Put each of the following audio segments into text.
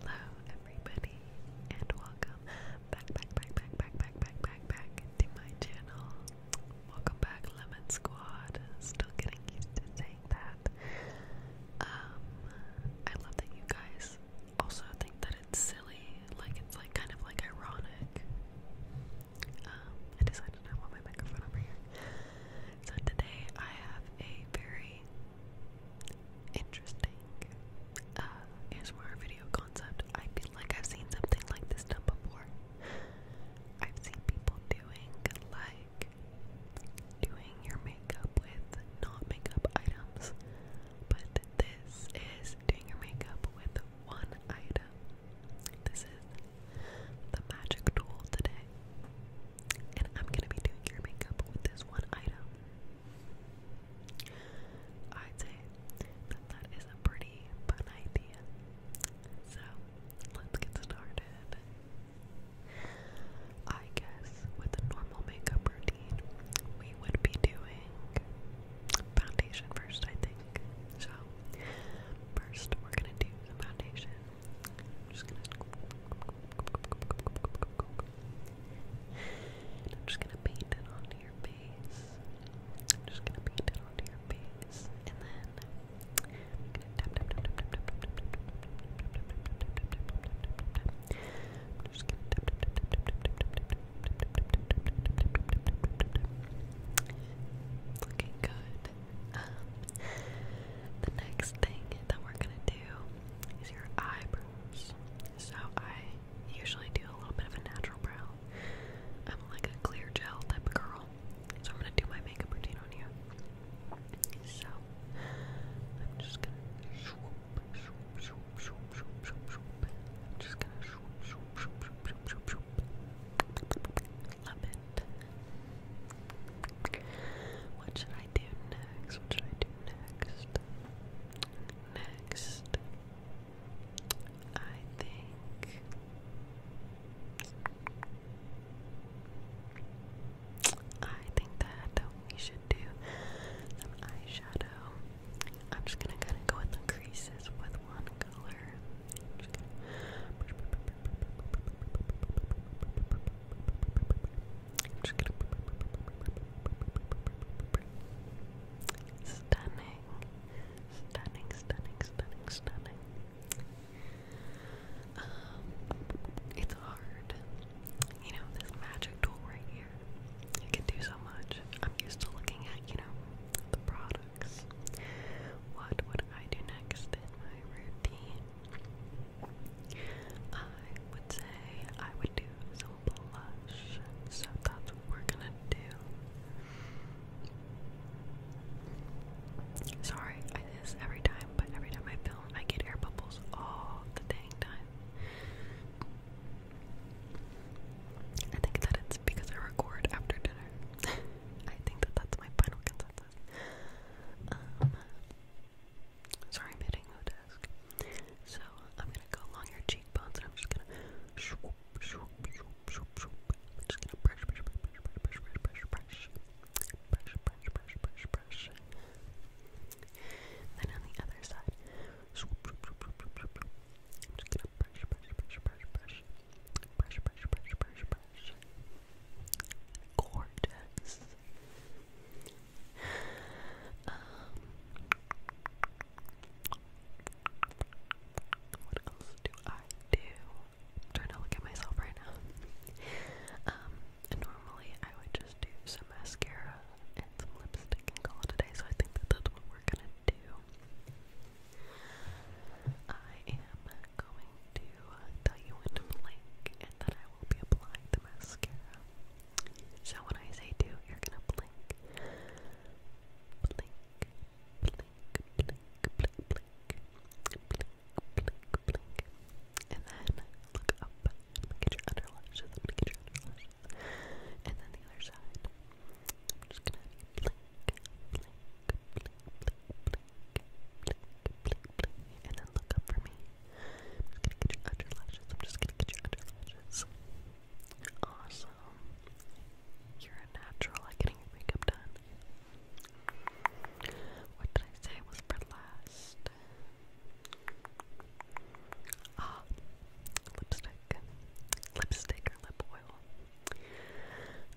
Hello everybody and welcome back back back back back back back back back to my channel. Welcome back Lemon Squad. Still getting used to saying that. Um I love that you guys also think that it's silly, like it's like kind of like ironic. Um I decided I want my microphone over here. So today I have a very interesting uh, ASMR video concept. I feel like I've seen something like this done before. I've seen people doing like doing your makeup with not makeup items, but this is doing your makeup with one item. This is the magic tool today. And I'm going to be doing your makeup with this one item. I'd say that that is a pretty fun idea. So, let's get started. I guess with a normal makeup routine, we would be doing foundation first, I think. So, First, we're gonna do some foundation. I'm just gonna. And I'm just gonna paint it onto your face. I'm just gonna paint it onto your face, and then Looking good. Um, the next thing that we're gonna do is your eyebrows. So I usually do a little bit of a natural brow. I'm like a clear gel type of girl, so I'm gonna do my makeup routine on you. So I'm just gonna Love it. What should I do next? What should I do next? Next, I think. I think that we should do some eyeshadow. I'm just gonna kind of go with the creases with one color. I'm just gonna stunning, stunning, stunning, stunning, stunning. Um, it's hard, you know, this magic tool right here. You can do so much. I'm used to looking at, you know, the products. What would I do next in my routine? I would say I would do some blush. So that's what we're gonna do. Sorry, this every time, but every time I film, I get air bubbles all the dang time. I think that it's because I record after dinner. I think that that's my final consensus. sorry, I'm hitting the desk. So I'm gonna go along your cheekbones, and I'm just gonna then on the other side, Gorgeous. what else do I do? trying to look at myself right now. Um, normally I would just do some mascara and some lipstick and call it a day, so I think that that's what we're gonna do. I am going to tell you when to blink, and then I will be applying the mascara. So when I say do, you're gonna blink. Blink, blink, blink, blink, blink blink, blink, and then look up. I'm gonna get your under lashes. I'm gonna get your under lashes, and then the other side. I'm just gonna blink, blink, blink, blink, blink, blink, blink, and then look up for me. I'm just gonna get your under lashes. I'm just gonna get your under lashes. Awesome. You're a natural at getting your makeup done. What did I say was for last? Ah, lipstick. Lipstick or lip oil.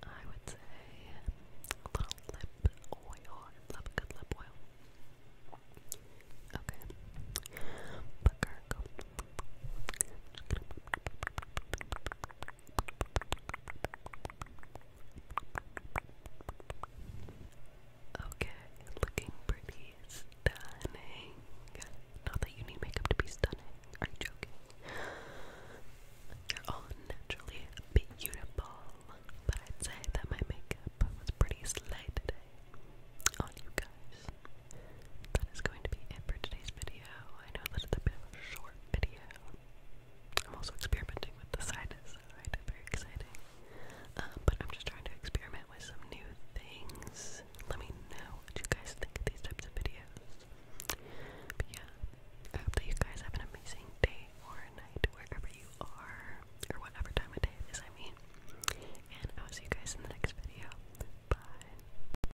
I would say a little lip oil. love a good lip oil. Okay. Pucker, Okay, looking pretty stunning. Not that you need makeup to be stunning. Are you joking? You're all naturally beautiful, but I'd say that my makeup was pretty slight today on you guys. That is going to be it for today's video. I know that it's a bit of a short video, I'm also experimenting with the sinus, right? Very exciting. Um, but I'm just trying to experiment with some new things. Let me know what you guys think of these types of videos. yeah, I hope that you guys have an amazing day or night wherever you are, or whatever time of day it is, I mean. And I will see you guys in the next video. Bye.